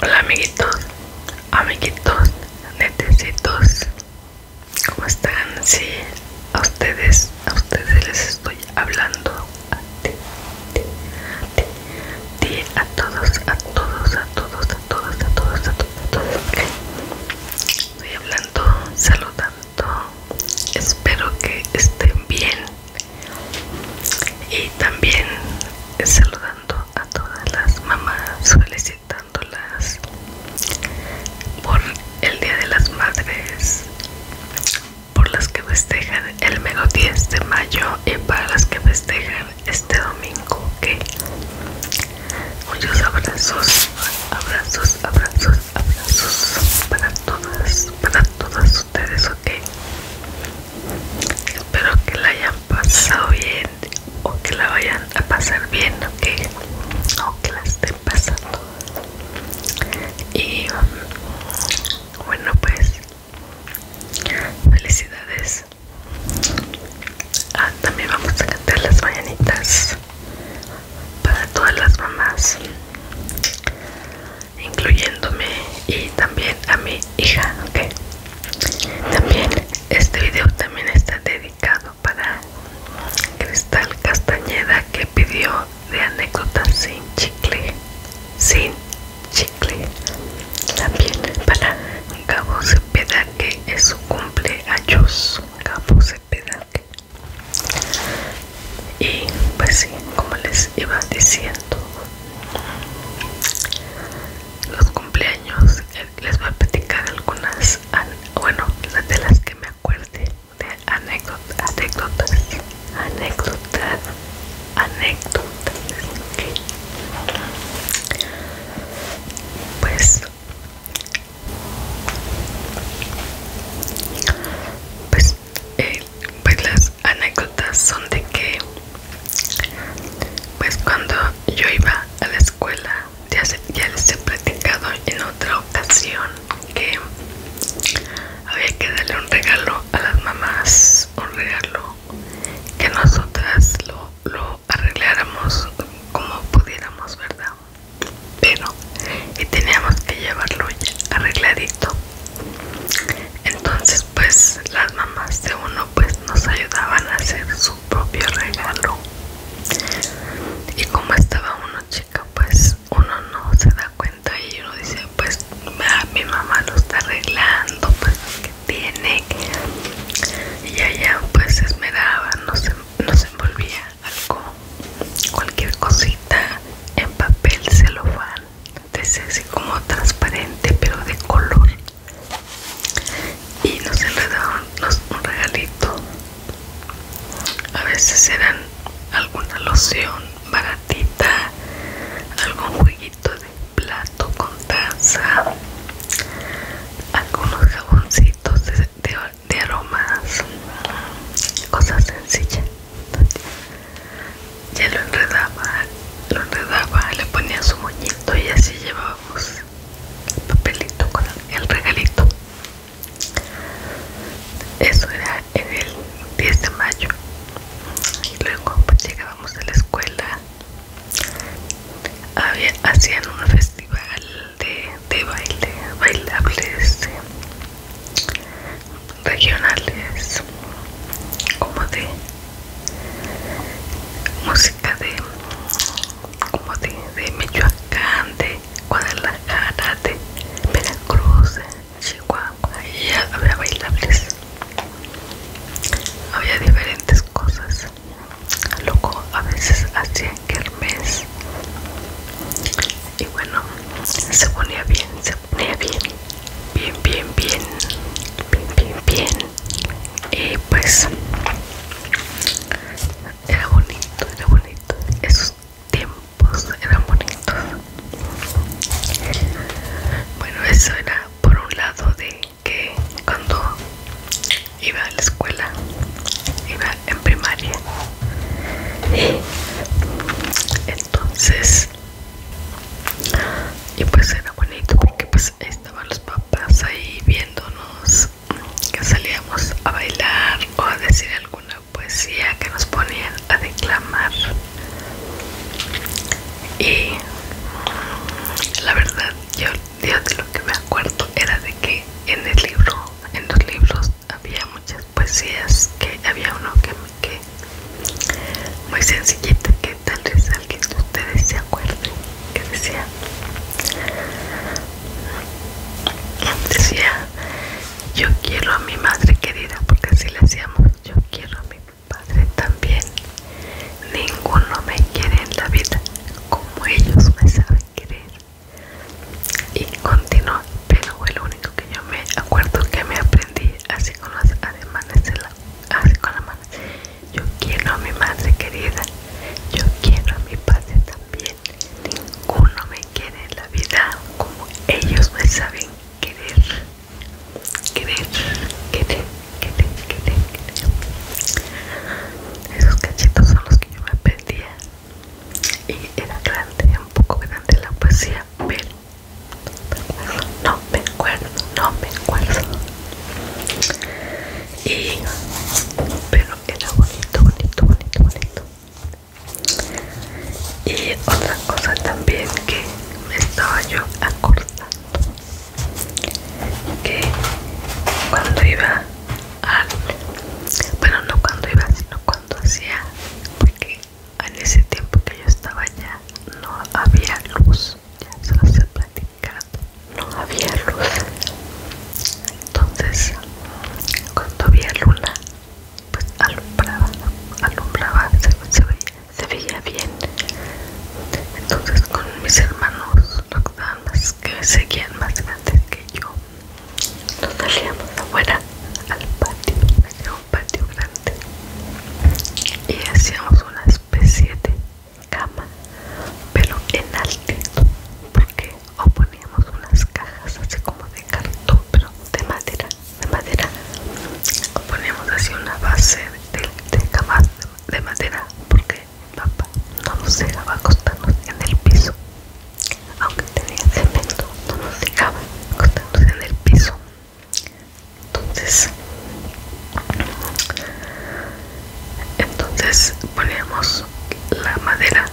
Hola amiguitos, amiguitos, netecitos, ¿cómo están? Sí, a ustedes, a ustedes les estoy hablando, a ti, a todos, a todos, a todos, a todos, a todos, a todos, a todos, Estoy hablando, saludando, espero que estén bien, y también saludando a todas las mamás felicitándolas por el Día de las Madres por las que festejan el mero 10 de mayo y para las que festejan este domingo que muchos abrazos abrazos abrazos abrazos para todas para todas ustedes espero que la hayan pasado bien o que la vayan a pasar bien o que la estén pasando y bueno pues felicidades ah, también vamos a cantar las mañanitas para todas las mamás incluyéndome y también a mi hija okay. también este video también está dedicado para Cristal Castañeda que pidió de anécdotas sin chicle sin chicle también para Gabo Cepeda que es su cumpleaños Gabo Cepeda y pues sí como les iba diciendo los cumpleaños eh, les voy a platicar algunas bueno de las que me acuerde de anécdotas anécdotas anécdotas anécdotas pues pues eh, pues las anécdotas son de que pues cuando yo iba a la escuela ya, ya les he platicado en otra ocasión que había que darle un regalo a las mamás un regalo que nosotras lo, arregláramos como pudiéramos verdad pero y teníamos que llevarlo arregladito entonces pues las mamás de uno pues nos ayudaban a hacer su propio regalo y como estaba uno chica pues uno no se da cuenta y uno dice pues ah, mi mamá lo está arreglando pues que tiene y allá pues se esmeraba nos, se envolvía algo cualquier cosita en papel celofán ser así como transparente pero de color y nos enredaron un regalito a veces eran alguna loción baratita algún jueguito de plato con taza algunos jaboncitos de aromas cosas sencillas ya lo enredaba, lo enredaba, le ponía su moñito y así llevábamos el papelito con el regalito. Eso era en el 10 de mayo. Y luego pues, llegábamos a la escuela. Había, hacían un festival de, de baile, bailables regionales como de música de como de, de Michoacán, de Guadalajara, de Veracruz, de Chihuahua, y había bailables, había diferentes cosas, loco a veces hacían mes y bueno se ponía bien, se ponía bien bien bien bien bien bien bien y pues era bonito era bonito esos tiempos eran bonitos bueno eso era por un lado de que cuando iba a la escuela iba en primaria y entonces y pues era bonito porque pues estaban los papás ahí viéndonos que salíamos a bailar o a decir alguna poesía que nos ponían a declamar y la verdad yo, de lo que me acuerdo era de que en el libro en los libros había muchas poesías que había uno que que muy sencillita que tal vez alguien de ustedes se acuerden que decía decía yo quiero a mi madre querida porque así le hacíamos yo quiero a mi padre también ninguno me quiere en la vida como ellos me saben querer y continuó pero lo único que yo me acuerdo que me aprendí así con las ademanes de así con la mano. Yo quiero a mi madre querida, yo quiero a mi padre también. Ninguno me quiere en la vida como ellos me saben querer. Querer, querer, querer, querer, querer. Esos cachitos son los que yo me perdía. Y era grande, un poco grande la poesía, pero no me acuerdo, no me acuerdo. Y, pero era bonito, bonito, bonito, bonito. Y otra cosa también que me estaba yo acordando, que cuando iba al, bueno no cuando iba, sino cuando hacía, porque en ese tiempo que yo estaba allá no había luz ya se los he no había luz entonces cuando había luna pues alumbraba alumbraba se, veía, bien entonces con mis hermanos los más que seguían más grandes que yo nos salíamos afuera al patio patio grande y hacíamos una especie de cama pero en alto porque o poníamos unas cajas así como de cartón pero de madera de madera o poníamos así una base de, cama de madera porque papá no nos dejaba acostarnos en el piso aunque tenía cemento no nos dejaba acostarnos en el piso entonces entonces poníamos la madera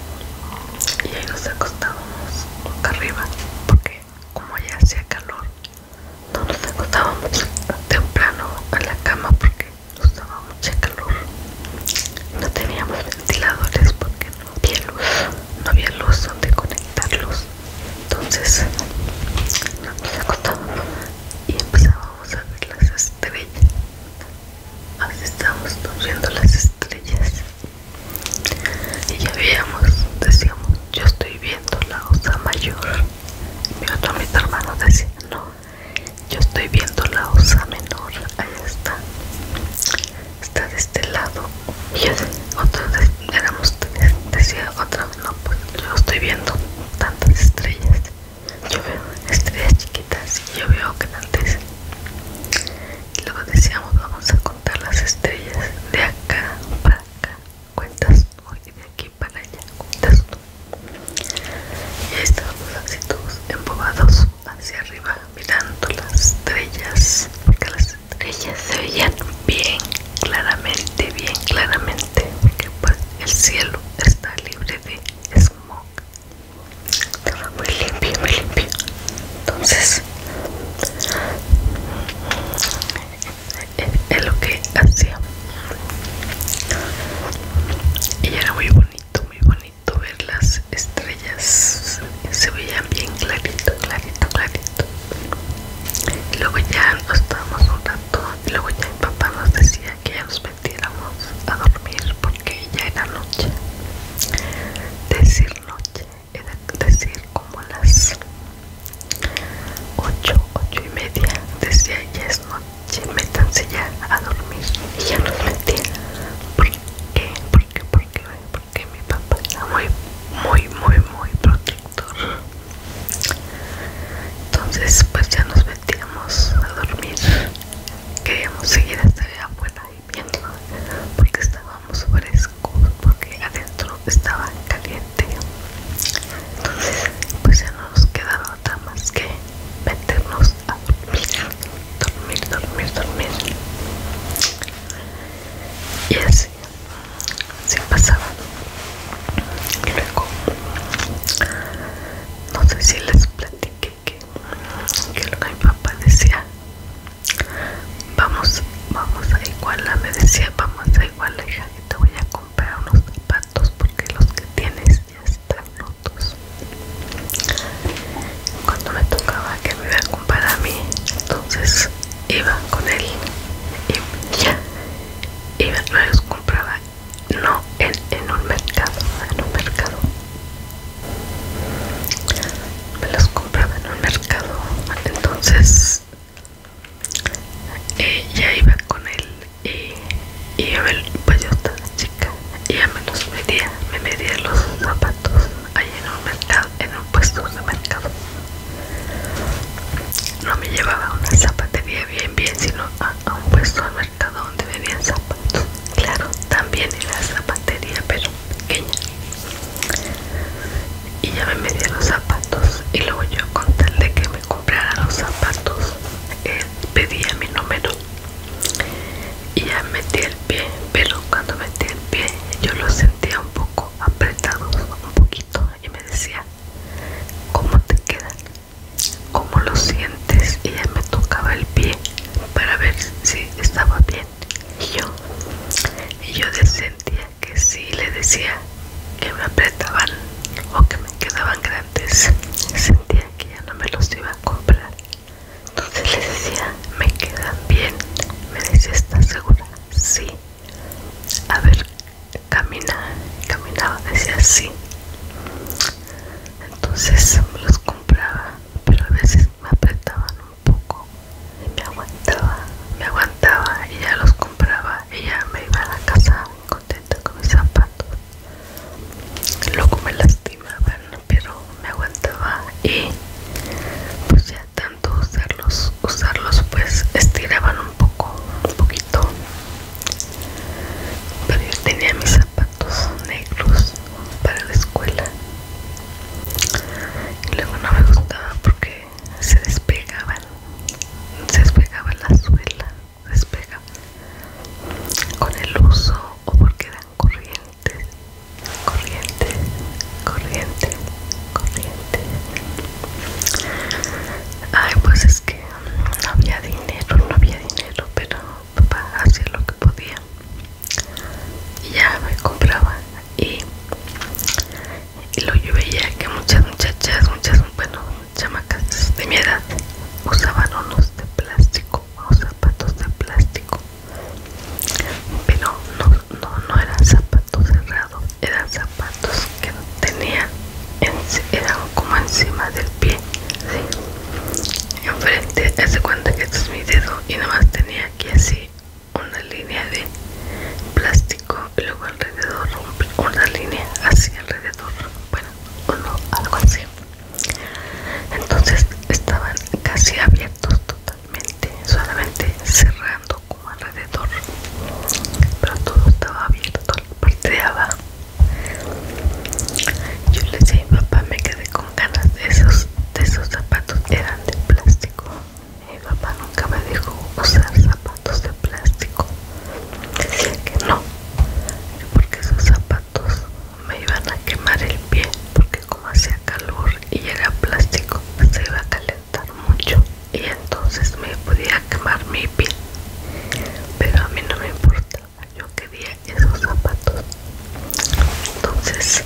y ahí nos acostábamos arriba porque como ya hacía calor no nos acostábamos temprano a la cama porque nos daba mucho calor no teníamos ventiladores porque había luz, no había luz donde conectarlos. Entonces nos acostábamos y empezábamos a ver las estrellas. Así estábamos viendo las estrellas. Y ya veíamos, decíamos, yo estoy viendo la osa mayor. mi otro, hermano decía, no, yo estoy viendo la osa menor, ahí está está de este lado y otra vez éramos tres decía otra vez no pues yo estoy viendo tantas estrellas yo veo estrellas chiquitas y yo veo grandes y luego decíamos vamos a contar las estrellas de acá para acá cuentas tú y de aquí para allá cuentas y ahí estábamos así todos embobados hacia arriba mirando las estrellas estrellas se veían bien claramente, bien claramente, porque pues el cielo está libre de smog, estaba muy limpio, muy limpio. Entonces, es lo que hacía. Y era muy bonito, muy bonito ver las estrellas. Se veían bien clarito, clarito, clarito luego ya nos estábamos un rato y luego ya mi papá nos decía que ya nos metiéramos a dormir porque ya era noche. Decir noche era decir como las 8, 8 y media. Decía ya es noche, métanse ya a dormir. Y ya nos metía. ¿Por qué? ¿Por qué? Porque porque mi papá era muy muy muy muy protector entonces pues ya nos metíamos a dormir queríamos seguir hasta la abuela y porque estábamos frescos porque adentro estaba caliente entonces pues ya no nos quedaba otra más que meternos a dormir dormir dormir dormir y así así, pasaba. Luego, no sé si les platiqué que, que mi papá decía, vamos, vamos a la me decía, vamos a la hija, que te voy a comprar unos zapatos porque los que tienes ya están rotos. Cuando me tocaba que me iba a comprar a mí, entonces iba con él y, ya me los compraba no en, en un mercado en un mercado me los compraba en un mercado entonces eh, ya iba con él y, a ver me, pues chica y ya me medía me medía los zapatos ahí en un mercado, en un puesto de mercado. No me llevaba a una zapatería bien bien, sino a, un puesto de mercado donde vendían zapatos. Claro, también era la zapatería, pero pequeña. Y ya me metí los zapatos y luego yo con tal de que me comprara los zapatos eh, pedía mi número y ya metí el pero cuando metí el pie yo lo sentía un poco apretado, un poquito, y me decía, ¿cómo te quedan? ¿Cómo lo sientes? Y ella me tocaba el pie para ver si estaba bien. Y yo, y yo sentía que sí le decía que me apretaban o que me quedaban grandes. Sentía que ya no me los iba a comprar. Entonces les decía, me quedan bien. Me decía, ¿estás segura? Sí. A ver, camina, caminaba, decía sí. Entonces me los compraba, pero a veces me apretaban un poco y me aguantaba, me aguantaba y ya los compraba y ya me iba a la casa contenta con mis zapatos. Luego me lastimaban, pero me aguantaba y pues ya tanto usarlos usarlos pues estiraban un poco un poquito pero yo tenía mis zapatos negros para la escuela y luego no me gustaba porque se despegaban se despegaba la suela se con el uso o porque era Corriente, corriente, corriente, corriente. Ay, pues es que no había dinero, no había dinero, pero papá hacía lo que podía. Y ya me compraba y, lo yo veía que muchas muchachas, muchas, bueno, chamacas de mi edad usaban unos de plástico, unos zapatos de plástico pero no, no, no eran zapatos cerrados, eran zapatos que tenía en, eran como encima del pie, ¿sí? enfrente, hace cuenta que este es mi dedo y nada más tenía aquí así una línea de plástico y luego alrededor una línea así alrededor, bueno, no, algo así entonces estaban casi abiertos totalmente solamente cerrando como alrededor, pero todo estaba abierto, la parte de abajo. Yo le dije a mi papá, me quedé con ganas de esos, de esos zapatos, eran de plástico. Mi papá nunca me dijo usar zapatos de plástico. Decía que no, porque esos zapatos me iban a quemar el pie, como hacía calor y era plástico se iba a calentar mucho y entonces me podía quemar mi piel pero a mí no me importaba yo quería esos zapatos entonces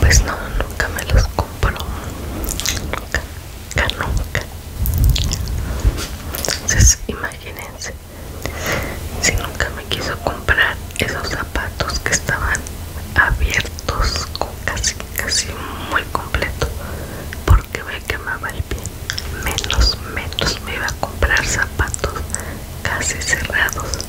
pues no nunca me los compró nunca nunca nunca entonces imagínense si nunca me quiso comprar esos zapatos que estaban abiertos casi casi muy completo porque me quemaba el pie menos menos me iba a comprar zapatos casi cerrados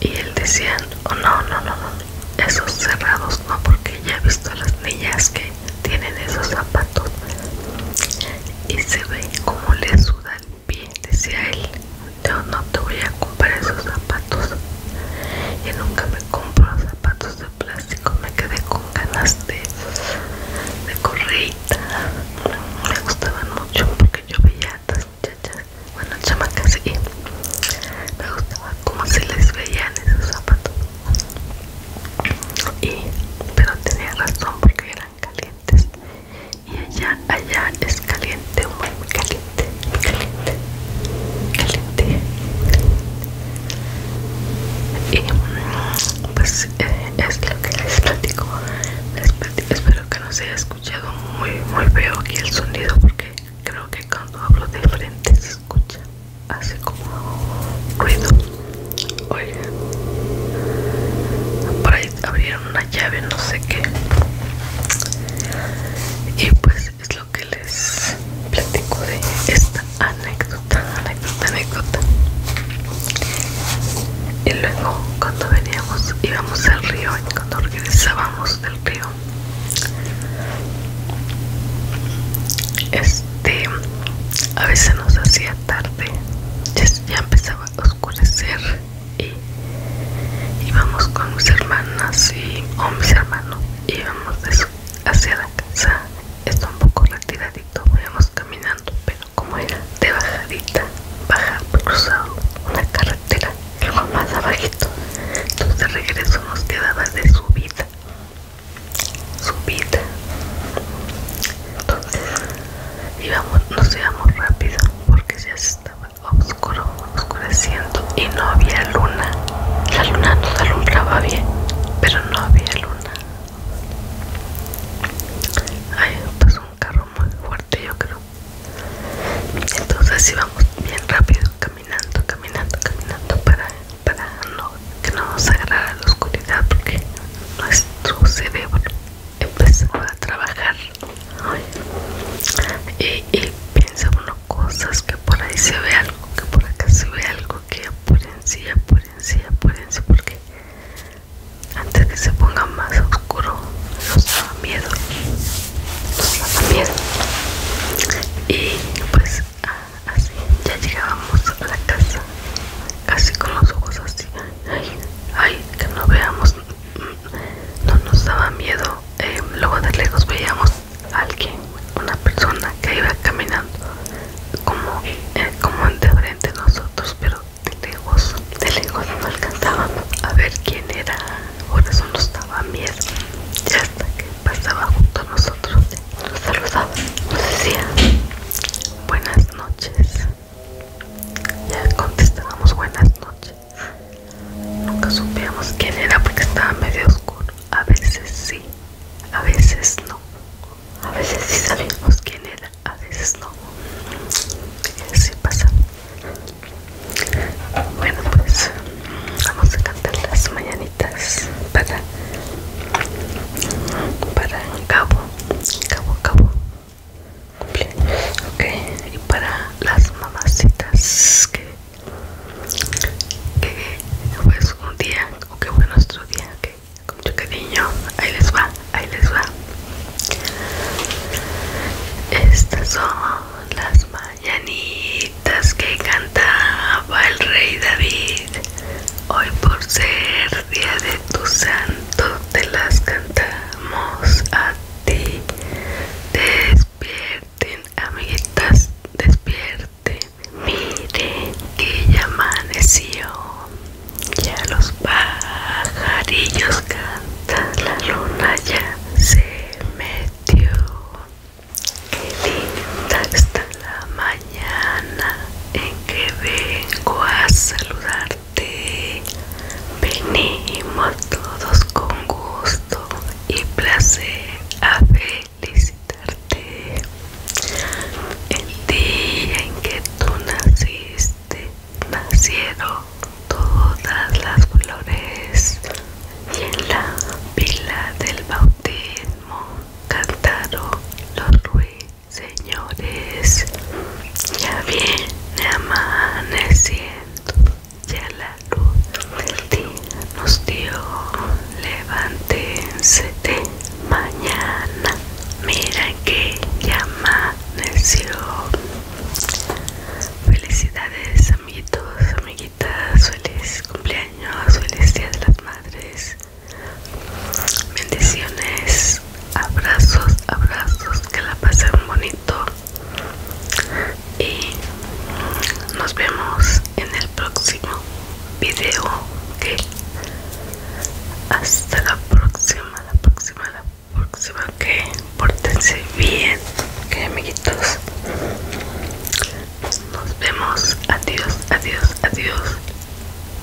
y él decía oh, no no no no esos cerrados no porque ya he visto a las niñas que tienen esos zapatos y se ve como le sudan Bien, decía él, yo no te voy a comprar esos zapatos. Yo nunca me compro zapatos de plástico, me quedé con ganas de, de correita. Me gustaban mucho porque yo veía a estas muchachas, bueno, chamacas, y me gustaba como se les veían esos zapatos. Y, pero tenía razón porque eran calientes y allá, allá es caliente, muy, caliente, muy caliente, caliente, Y mm, pues eh, es lo que les platico. les platico. Espero que no se haya escuchado muy, muy feo aquí el sonido porque creo que cuando hablo de frente se escucha así como ruido. Oigan, por ahí abrieron llave, no sé qué. Y pues es lo que les platico de esta anécdota, anécdota, anécdota. Y luego cuando veníamos, íbamos al río y cuando regresábamos del río, este, a veces nos hacía tarde, ya empezaba oscurecer y íbamos con mis hermanas y, o mis hermanos íbamos hacia la casa está un poco retiradito íbamos caminando pero como era de bajadita bajar, cruzado una carretera algo más abajito entonces de regreso nos quedaba de subida subida íbamos, nos íbamos rápido porque ya se estaba oscuro, oscureciendo y no había luna. La luna nos alumbraba bien, pero no había luna. Ahí pasó un carro muy fuerte, yo creo. Entonces íbamos bien rápido, caminando, caminando, caminando para, para que no nos agarrara la oscuridad porque nuestro cerebro empezaba a trabajar y, y piensa uno cosas que por ahí se ve algo, que por acá se ve algo, que por sí, por encima, por encima, porque antes que se ponga más oscuro nos daba miedo, nos daba miedo. Y pues así ya llegábamos a la casa casi con los ojos así. Ay, ay, que no veamos. No nos daba miedo. Eh, luego de lejos veíamos a alguien, una persona que iba caminando como, eh, entre de nosotros, pero de lejos, de lejos no alcanzábamos a ver quién era. Por eso nos daba miedo. Y hasta que pasaba junto a nosotros, nos saludaba, nos decía buenas noches. Ya contestábamos buenas noches. Nunca supíamos quién era porque estaba medio oscuro. A veces sí, a veces no. A veces sí sabíamos quién era, a veces no. así pasa. Bueno, pues vamos a cantar las mañanitas para, para Cabo, Cabo, Cabo ok y para las mamacitas que, que pues un día o que fue nuestro día que con mucho cariño ahí les va ahí les va estas son las mañanitas que cantaba el rey David hoy por ser día de tu santo te las cantamos a ti. Despierten, amiguitas, despierten. Miren que ya amaneció. Ya los pajarillos cantan, la luna ya se metió. Qué linda está la mañana en que vengo a saludar Venimos todos con gusto y placer a felicitarte. El día en que tú naciste, nacieron todas las flores y en la pila del bautismo cantaron los ruidos Señores, ya viene amaneciendo, ya la luz del día nos dio. Levántense de mañana, mira que ya amaneció. Felicidades, amiguitos, amiguitas, feliz cumpleaños, feliz día de las madres. Bendiciones, abrazos, abrazos, que la pasen bonito. Y nos vemos en el próximo video. que Hasta la próxima, la próxima, la próxima. Que portense pórtense bien, que amiguitos. Nos vemos. Adiós, adiós, adiós.